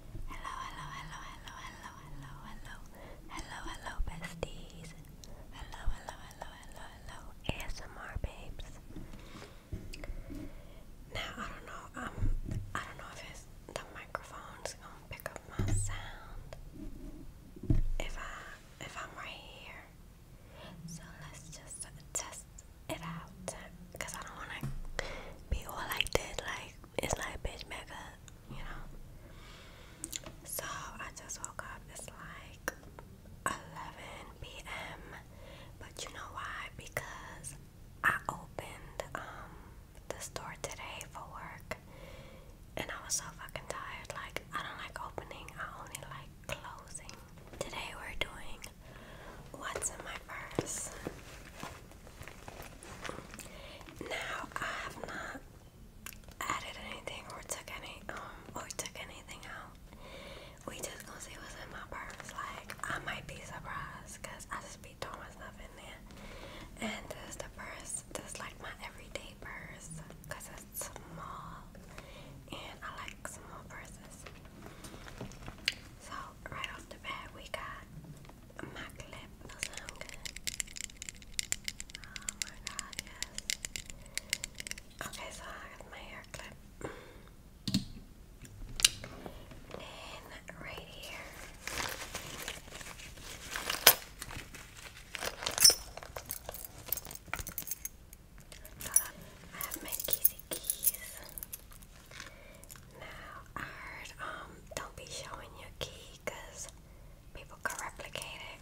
Hello, hello, hello, hello, hello, hello, hello, hello, hello, besties. Hello, hello, hello, hello, hello, ASMR babes. Now I don't know, um, I don't know if it's the microphone's gonna pick up my sound. If I, if I'm right here, so let's just test it out. Cause I don't wanna be all like that, like it's like bitch back up, you know. So I just woke up, it's like 11 p.m. But you know why? Because I opened um the store today for work and I was so fucking tired. Like I don't like opening, I only like closing. Today we're doing what's in my purse. Now I have not added anything or took any um, or took anything out. We just gonna see what's in my purse. Like I might be surprised because I just be throwing stuff in there. And this is the purse. This like my everyday purse because it's small and I like small purses. So right off the bat we got Mac lip Oh my god, Okay, so I got my hair clip. And right here. I have my kissy keys. Now, I heard, um, don't be showing your key people can replicate it.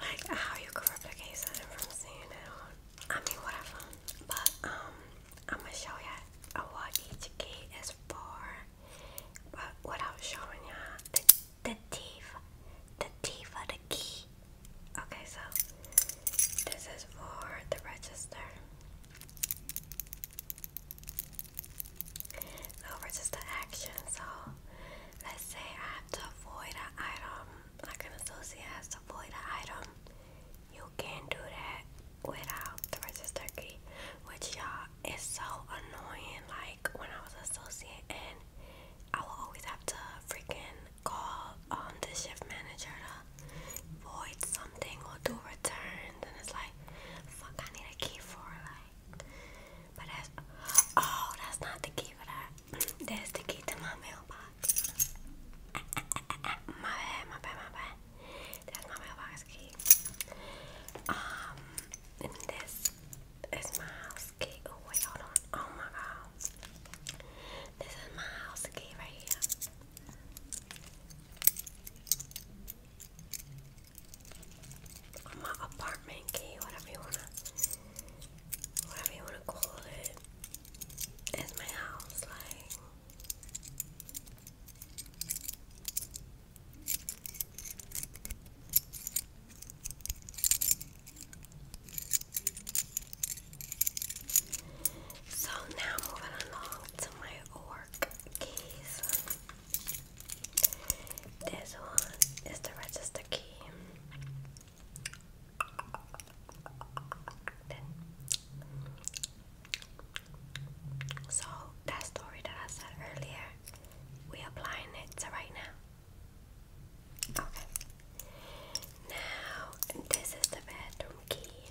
Like, how you can replicate something from seeing it I mean, whatever. But, um, I'm gonna show you uh, what each key is for. But without showing you the, the teeth, the teeth the key. Okay, so this is for the register. No resistant action, so let's say I have to avoid an item, like an associate has to avoid an item. You can do that without the register key, which y'all is so annoying. Like when I was an associate and I will always have to freaking call um the shift manager to void something or do returns and it's like fuck I need a key for like but that's oh that's not the key for that that's the key to my mailbox my bad my bad my bad that's my mailbox key um and this is key oh wait hold on oh my god this is my house gate right here. my apartment key, whatever you wanna whatever you wanna call It's my house, like so now moving along to my work keys. This one is the register key. so that story that I said earlier, we applying it to right now. Okay. Now, this is the bedroom key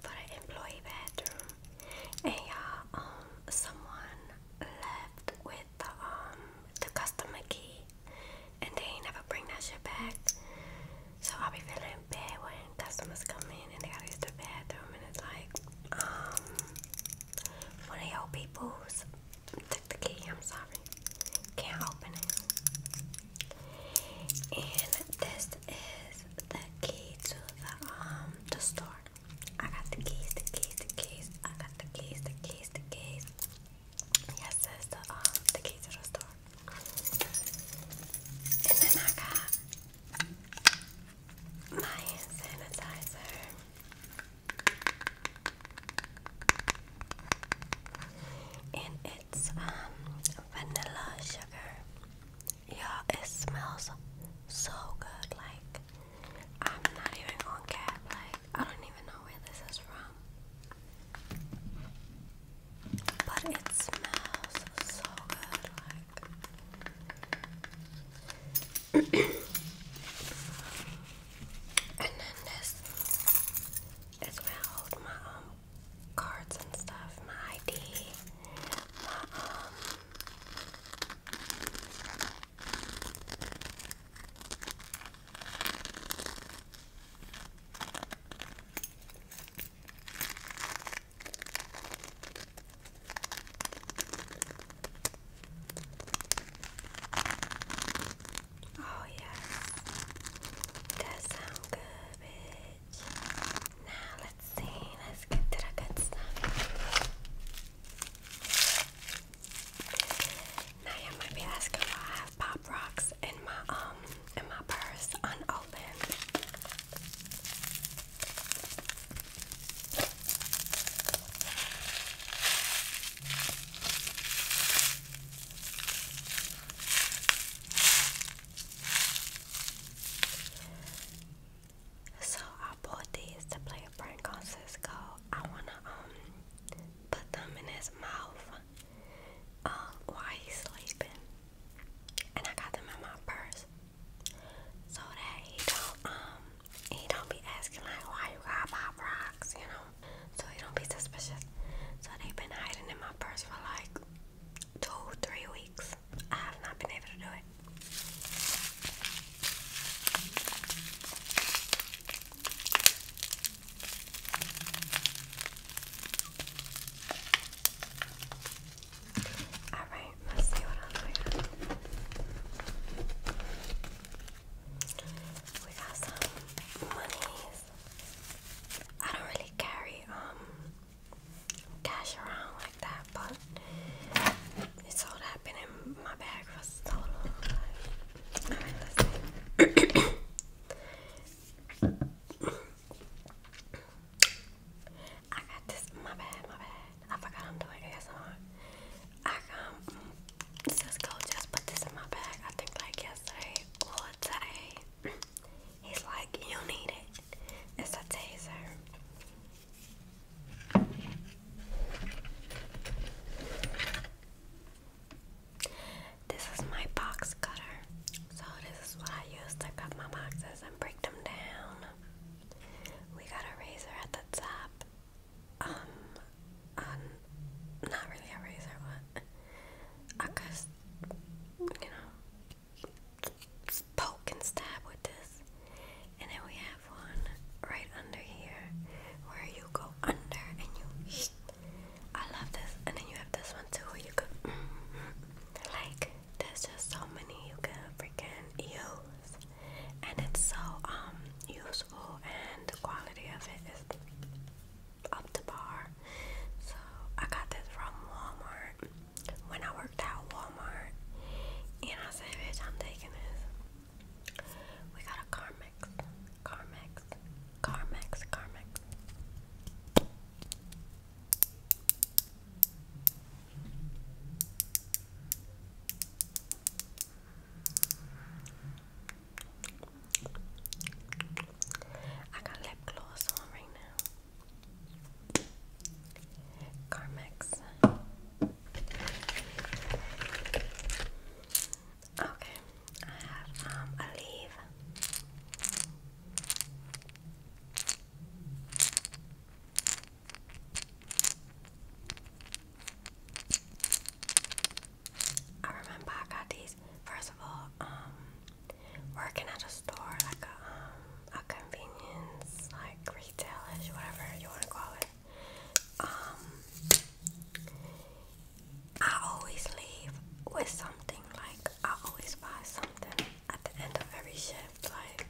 for the employee bedroom. And y'all, um, someone left with the um the customer key, and they ain't never bring that shit back. So i be feeling bad when customers come in and they gotta the bathroom, and it's like, um, one of you people's took the key. I'm sorry, can't open it. And this is the key to the um the store. I got the keys, the keys, the keys. I got the keys, the keys, the keys. Yes, that's the um the key to the store. And then I got my sanitizer and it's um, vanilla sugar. Yeah, it smells so good. Like I'm not even gonna cap. Like I don't even know where this is from, but it smells so good. Like, and then this is where I hold my um cards and stuff, my ID, my um Oh yeah, That sound good, bitch. Now let's see. Let's get to the good stuff. Now you might be asking why I have pop rocks in my um in my purse unopened. So I bought these to play a prank on Cisco. I wanna um put them in his mouth uh, while he's sleeping. And I got them in my purse. So that he don't um he don't be asking like why you got pop rocks, you know so he don't be suspicious. So they've been hiding in my purse for like two, three weeks. I have not been able to do it. Alright, let's see what else we got. We got some monies. I don't really carry um cash around like that, but it's all been in my bag for so long. I got this. My bad, my bad. I forgot I'm doing ASMR. I um Cisco just put this in my bag. I think like yesterday or today. He's like, you need it. It's a taser. This is my box cutter. So this is what I use to cut my boxes and break them down. We got a razor at the top um, um, not really a razor, but I can, you know, poke and stab with this. And then we have one right under here where you go under and you. I love this. And then you have this one too where you go. Like, there's just so many you can freaking use. And it's so um useful and the quality of it is up to bar. So I got this from Walmart when I worked out Walmart and I said, I'm taking this. We got a Carmex, Carmex, Carmex, Carmex. I got lip gloss on right now. Carmex. Okay, I have um a leave. I remember I got these first of all, um, working at a store, like a um, a convenience, like retailish, whatever you wanna call it. Um I always leave with something, like I always buy something at the end of every shift, like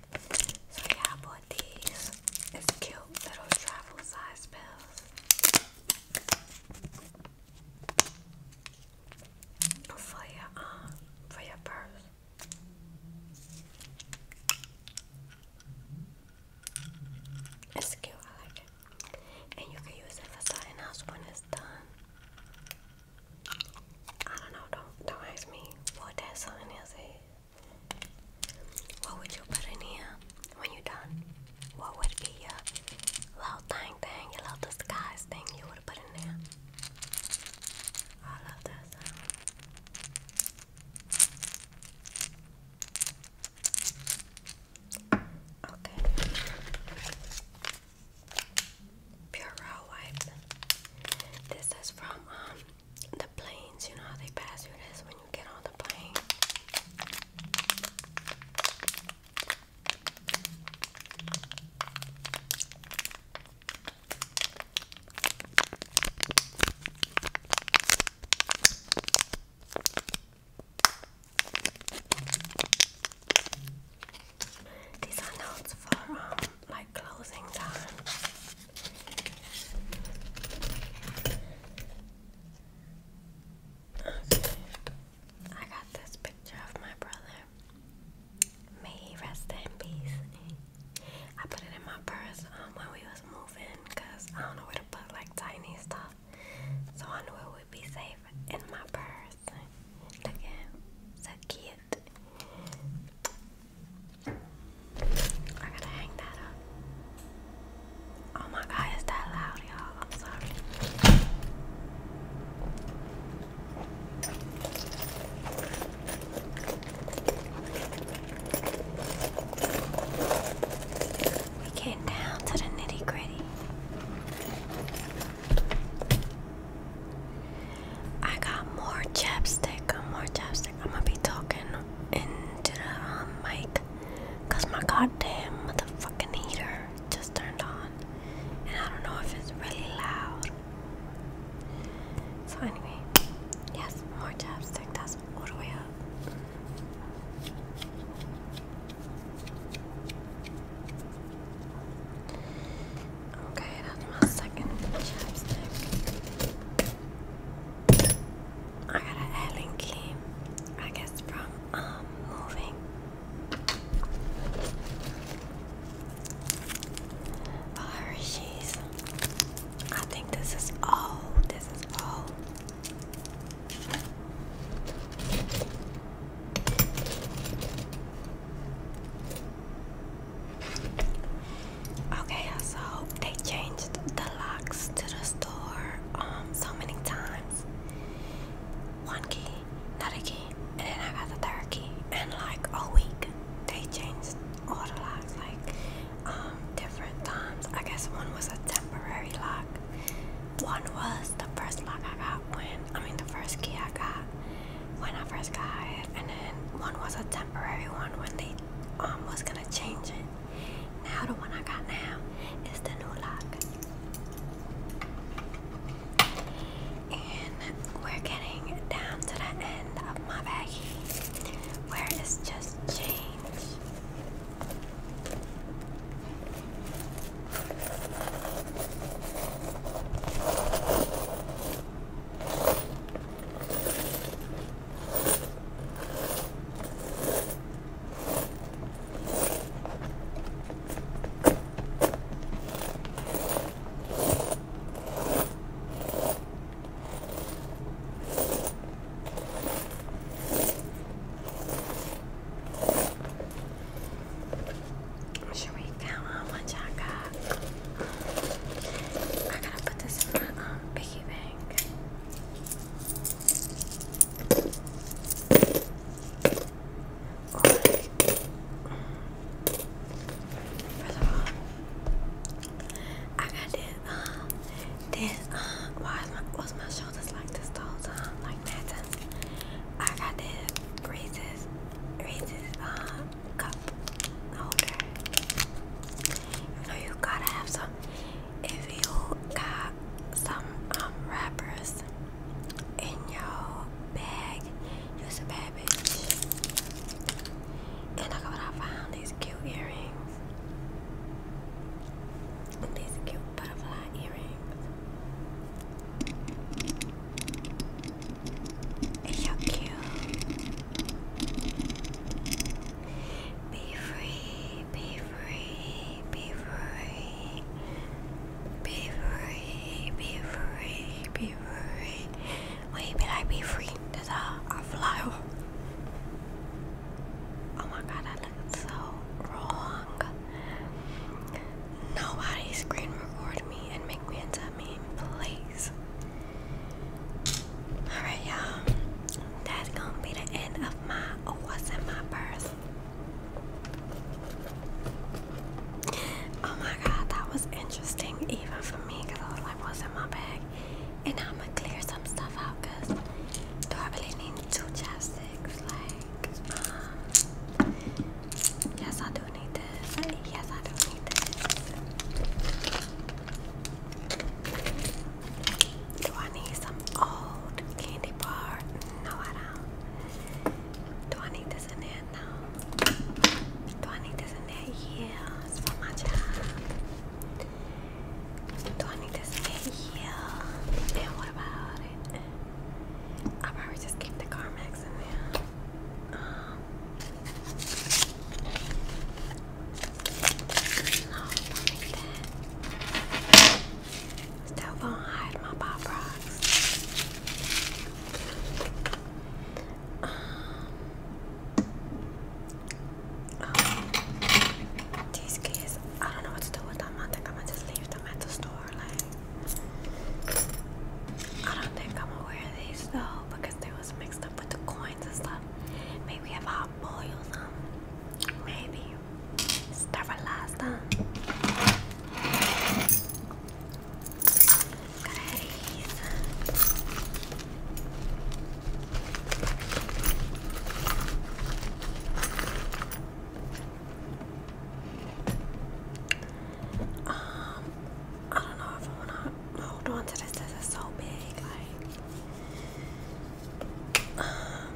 so yeah I bought these is cute little travel size pills for your arm, um, for your purse. It's cute, I like it. And you can use it for something else when it's done. I don't know, don't don't ask me what that something is. What would you put in here when you're done? What would be your little thing thing, your little disguise thing you would put in there? I love that Okay. Pure raw wipe. This is from um the planes, you know how they pass you this when you get on the plane. These are notes for um, my closing time. Okay. I got this picture of my brother. May he rest in peace. I put it in my purse um, when we was moving because I don't know where to put like tiny stuff. So I knew it would be safe in my purse. Look at him. So cute. I gotta hang that up. Oh my god, is that loud, y'all? I'm sorry. We came down to the nitty gritty. I got more chapstick, more chapstick. I'm gonna be talking into the um, mic because my goddamn motherfucking heater just turned on, and I don't know if it's really loud. So anyway, yes, more chapstick. That's all the way up. Okay, that's my second chapstick. I got a Allen key, I guess from um moving. Oh, Hershey's. I think this is all. This is all. Okay, so they changed the locks to the store um so many times. One key, not a key, and then I got the third key. And like a week, they changed all the locks like um different times. I guess one was a temporary lock. One was the first lock I got when I mean the first key I got when I first got it, and then one was a temporary one when they I'm um, was gonna change it. Now the one I got now is the new lock. And we're getting down to the end of my baggie where it's just change. Should we count how much I got? I gotta put this in my um, piggy bank. I got this, um, this, um, why is my, was my shoulders like this whole time? Like that, I got this Reese's, Reese's, cup holder. You know gotta have some. If you got some um, wrappers in your bag, you're a bad bitch. And look what I found these cute earrings. These cute butterfly earrings. You're cute. Be free, be free, be free. Be free, be free, be free. Wait, be like be free. That's how I fly. Oh my god, I look so wrong. Nobody screen record me and make me into I please. Alright, y'all. That's gonna be the end of my oh, what's in my purse. Oh my god, that was interesting even for me because I was in my bag? And I'm gonna clear some stuff out because do need two chapsticks? Like, uh, yes, I don't need this. Yes, I don't need this. Do I need some old candy bar? No, I don't. Do I need this in there? No. Do I need this in there? Yes, for my job. Do I need this in there? Yeah. And what about it? i probably just keep the Carmex in there. Still gonna hide my pop rocks. Um, um, these kids, I don't know what to do with them. I think I'm gonna just leave them at the store. Like, I don't think I'm gonna wear these though because because they was mixed up with the coins and stuff. Maybe have hot boils Maybe. Start for last time. Um, I don't know if I wanna hold on to this. This is so big, like. Um,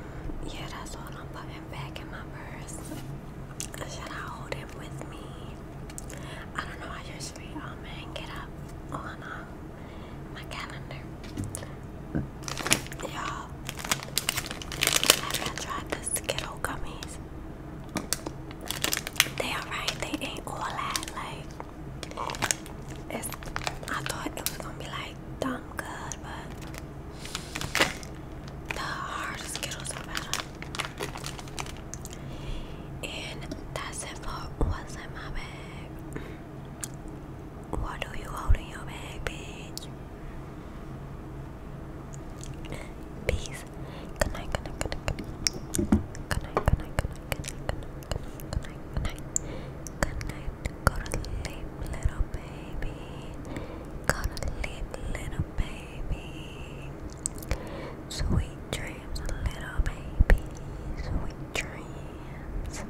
yeah, that's what I'm putting back in my purse. Should I hold him with me? I don't know. I usually um oh hang it up on uh, my calendar. Y'all, have y'all tried the Skittle gummies? They alright, they ain't all that like I thought it was gonna be like dumb good, but the hard Skittles are better. And that's it for what's in my bag. What do you hold in your bag, bitch? Peace. Good night, good night, good night, good night. Go to sleep, little baby. Go to sleep, little baby. Sweet dreams, little baby. Sweet dreams.